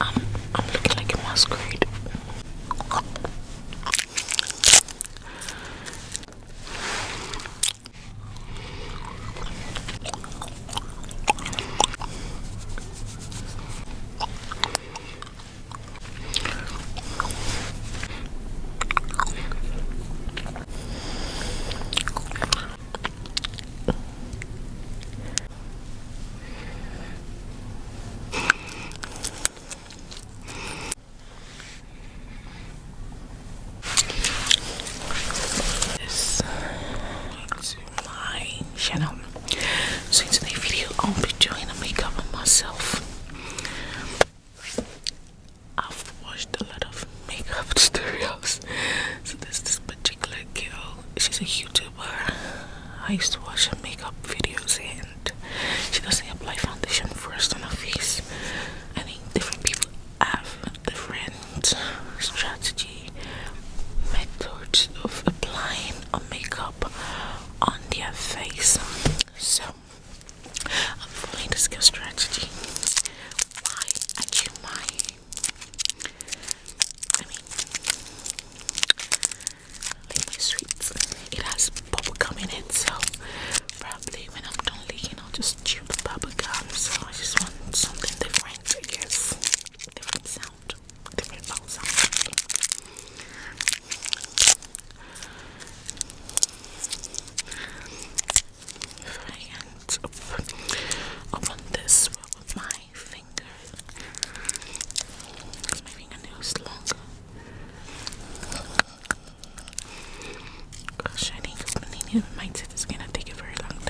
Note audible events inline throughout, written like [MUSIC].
I'm, looking like a masquerade. This to my channel. So in today's video, I'll be doing a makeup on myself. I've watched a lot of makeup [LAUGHS] tutorials, so this is but particular girl, she's a YouTuber. I used to watch her makeup videos, and she doesn't apply foundation first on her face. I think different people have different strategy methods of applying a makeup on their face. So I'm following to girl strategy. Why I I mean, licking It has bubble gum in so probably when I'm done licking, I'll just chew the bubble gum. So I just want something different, I guess. Different sound, different bubble I end on this with my finger because my fingernail is long. Shiny because millennium might say is gonna take a very long time.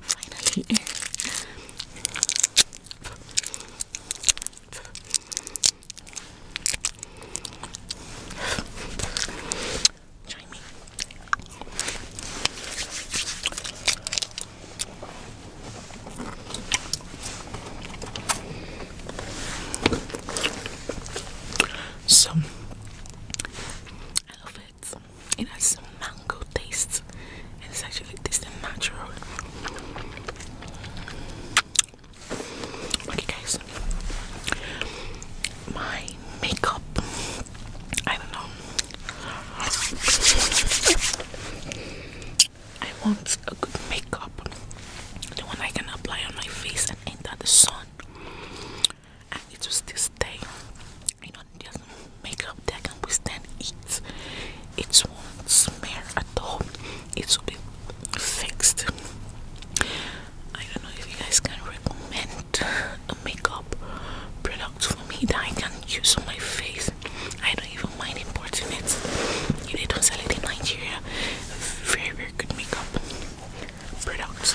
Finally. Join So I love it it. has some mango taste, and it's actually tasting natural. Okay, guys, my makeup. I don't know. I want a good makeup, the one I can apply on my face and enter the sun and it was this day you know just makeup that can withstand it it won't smear at all It's will be fixed I don't know if you guys can recommend a makeup product for me that I can use on my face I don't even mind importing it if they not sell it in Nigeria very very good makeup products.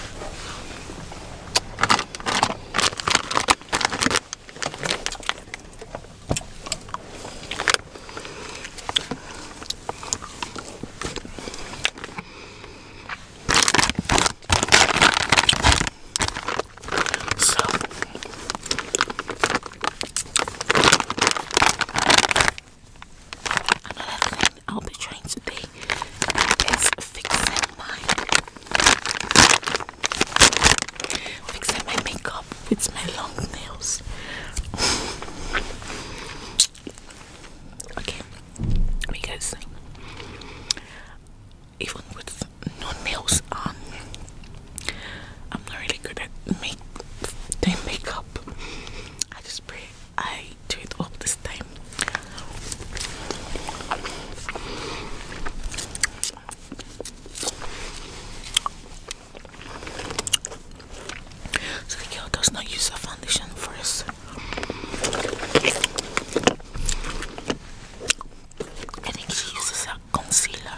So Another thing I'll be trying to today is fixing my fixing my makeup with my long nails. okay, because even with no nails on, I'm not really good at make doing makeup. I just pray I do it all this time. So the girl does not use a foundation first. I think she uses a concealer.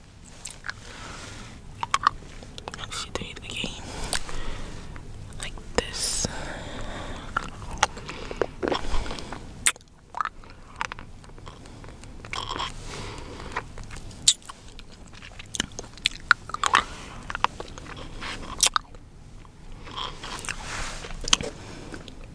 She did the game like this.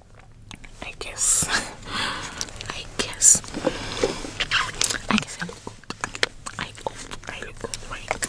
[LAUGHS] I guess. I guess. I guess I look good. I look good. I look good, right?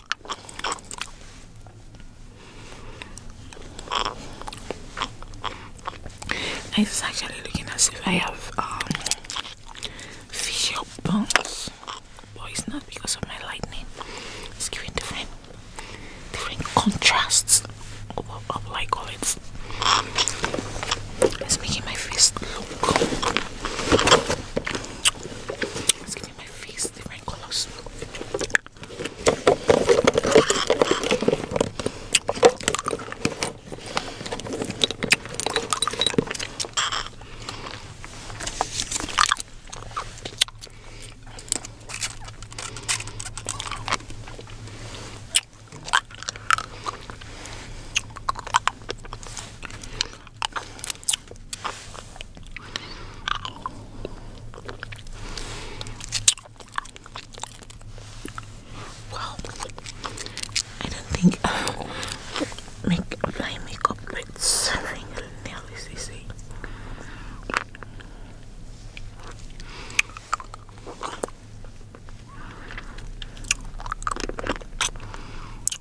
It's actually looking as if I have um facial bones, but it's not because of my lightning. It's giving different, different contrasts of, of like it. It's making my face look it's getting my face, the wrinkles. Wow, I don't think [LAUGHS] make apply makeup with serving a nail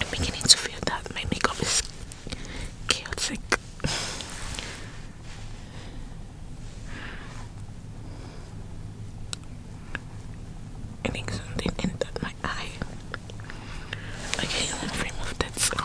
I'm beginning to feel that my makeup is chaotic. I think something entered my eye. Okay, let's remove that.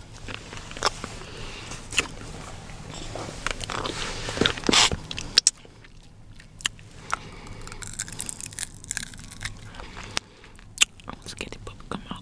I was getting popcorn out.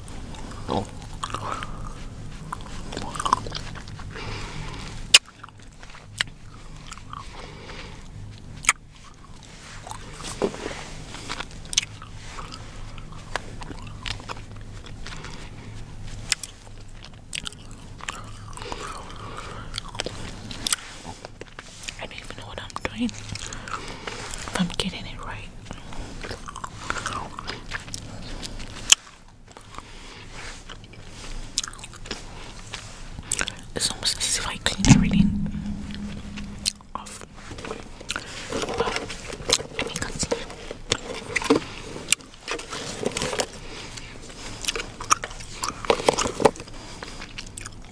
I don't even know what I'm doing, I'm getting it right. It's almost as if I cleaned everything off.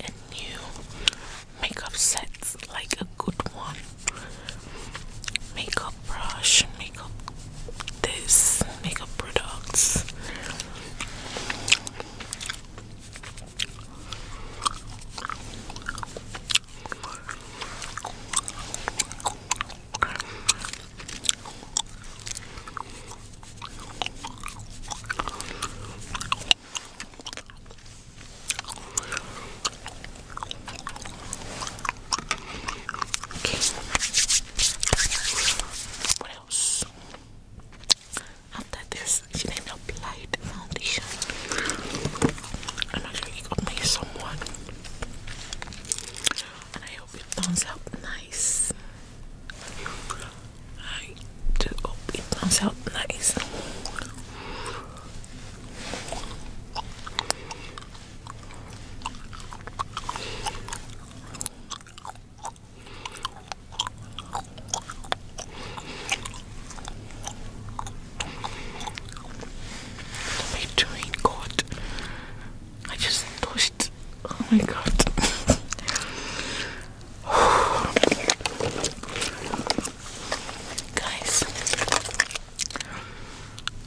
and new makeup sets like a good one makeup brush makeup this makeup products Okay. What else? After this, she then applied foundation. And actually got me someone. And I hope it turns out nice. I just hope it nice. My train got. I just touched. Oh my god. [LAUGHS] Guys,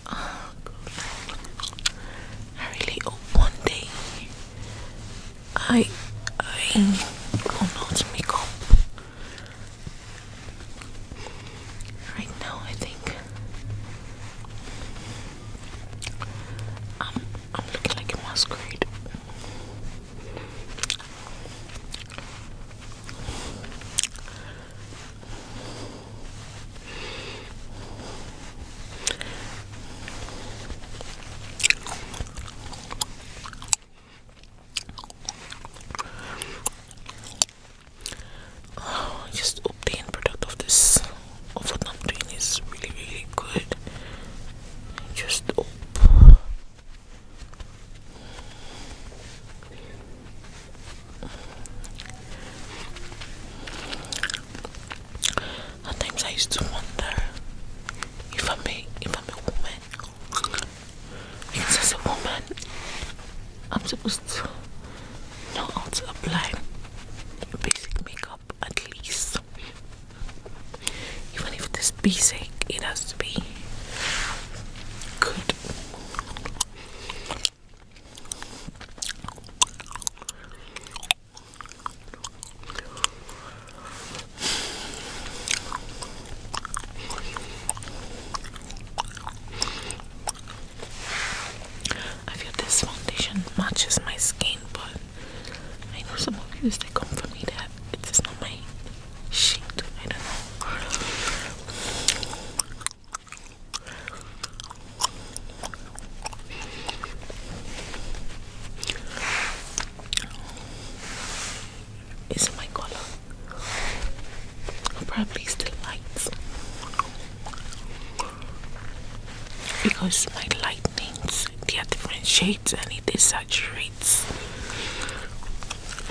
oh, I really hope one day I I will not make up. Right now, I think am um, I'm looking like a masquerade. Oh, just obtain product of this what I'm doing is really really good. Just hope at I used to wonder if I'm a if I'm a woman. Because as a woman I'm supposed to know how to apply basic makeup at least. Even if it's be sick, it has to be good. I feel this foundation matches my skin, but I know some of you guys that come for me that it's just not my shit. I know. It's my color. Probably still light because my light they are different shades and it saturated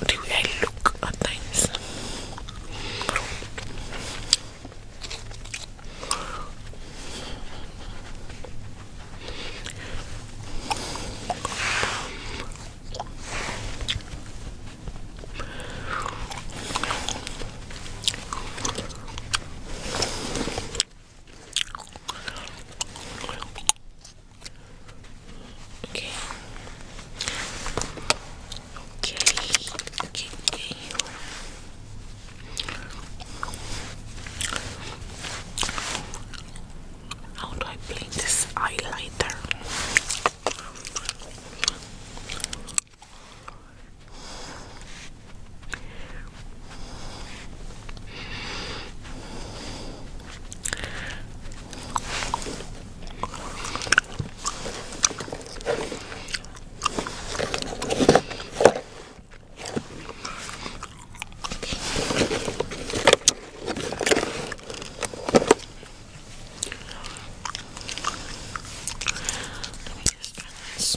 do I look at things. Okay. Okay. Okay. Okay. How do I blend this highlighter? Let me just turn this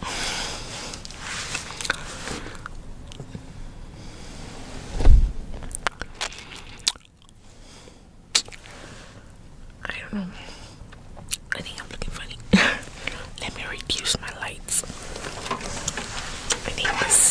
I don't know. I think I'm looking funny. [LAUGHS] Let me reduce my lights. I think this.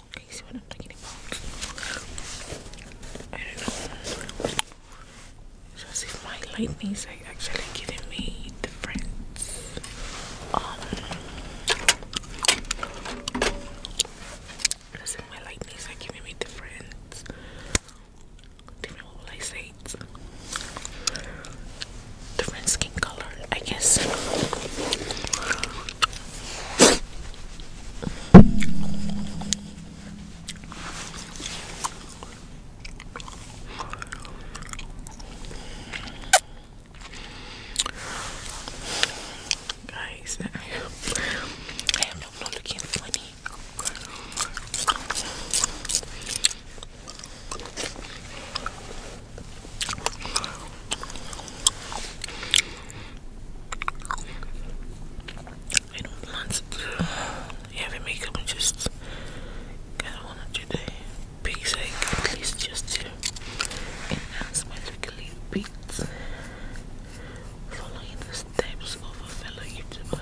Okay, see what I'm talking about? if my lighting actually giving me difference. Um, just my lighting is giving me difference. Different what I say? It's different skin color, I guess. Guys, I am not looking funny. I don't want to do heavy makeup. I just kind of want to do the big at least just to enhance Following the steps of a fellow YouTuber.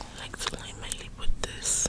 I like to lay my lip with this.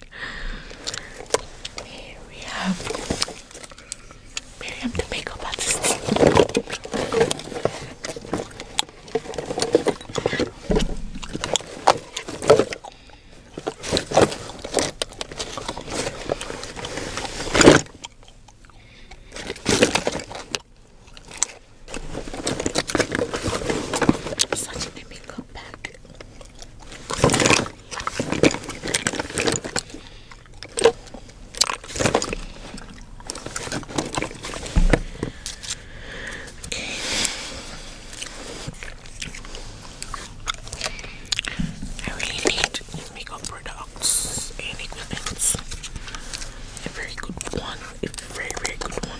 Here we have Miriam the makeup artist. Such a makeup bag. I really need makeup products and equipment. A very good one. A very very good one.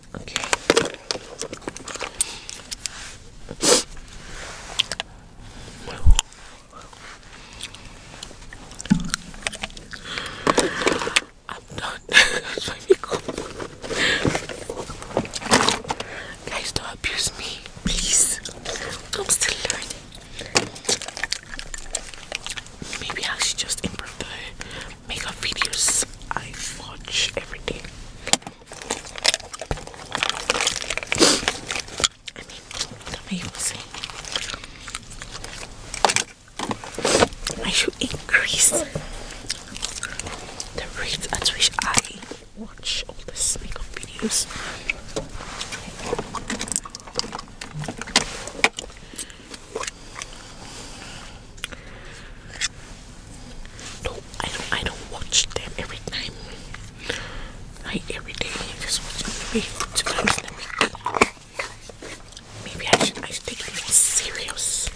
Okay. I'm done. [LAUGHS] Guys, don't abuse me, please. I'm still learning. Maybe I should just improve the makeup videos I watch every day. I mean, what am I even saying? I should increase the rate at which I watch all the makeup videos. No, I don't. I don't watch them every night, Like every day, I just watch maybe two times Maybe I should. I should take it more serious.